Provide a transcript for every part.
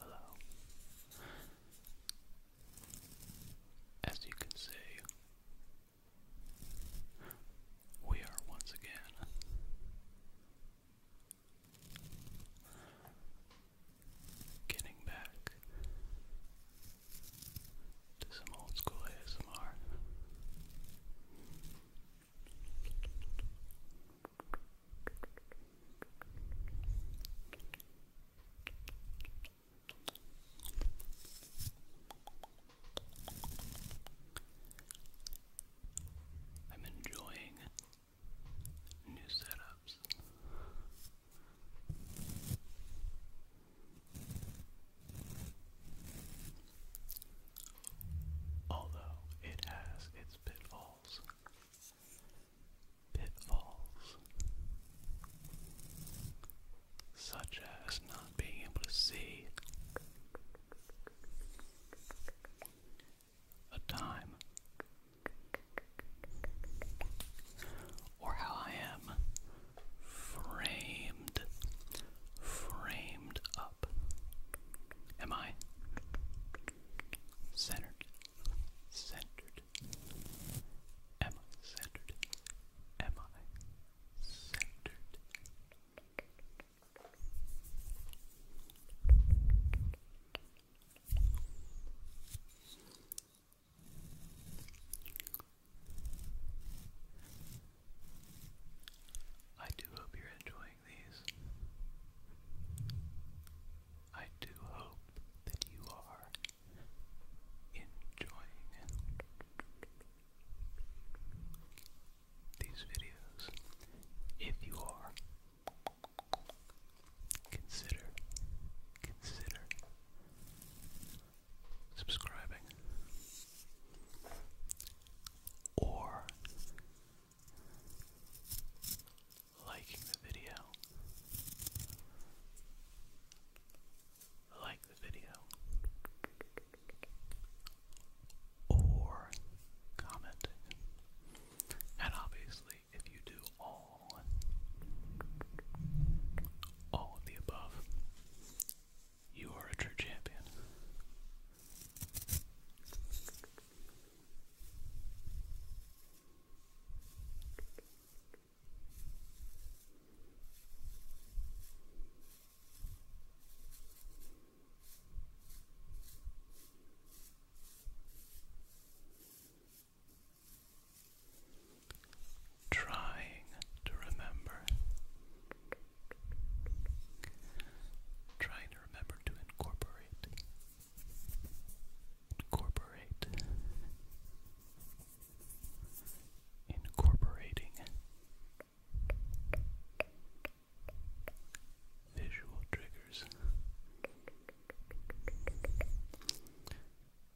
Hello. As you can see, we are once again getting back to some old school ASMR. I'm enjoying new setups. Although it has its pitfalls. Pitfalls. Such as not being able to see a time or how I am framed, framed up. Am I centered? Centered. Am I centered? Am I centered? I do hope you're enjoying these. I do hope that you are enjoying these videos. If you are, consider, consider subscribing or liking the video. Like the video or commenting. And obviously, if you do all all. of the above. You are a true champion. Trying to remember. Trying to remember to incorporate. Incorporate. Incorporating visual triggers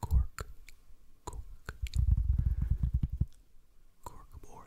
Cork, cork, cork board.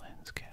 Lens cap.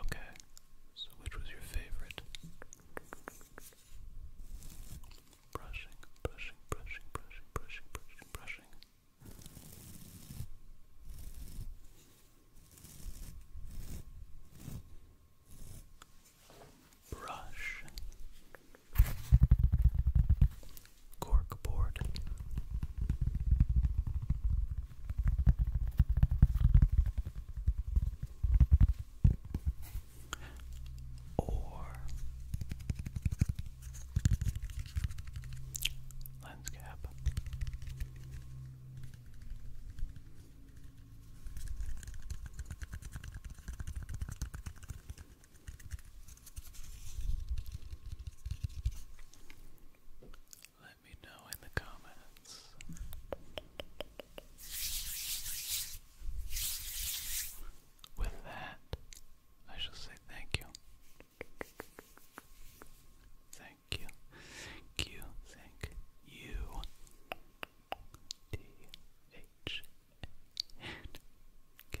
Okay, so which was your favorite? Brushing, brushing, brushing, brushing, brushing, brushing, brushing. Brush cork board. Or lens let me know in the comments. With that, I shall say thank you. Thank you. Thank you. Thank you. D H N K.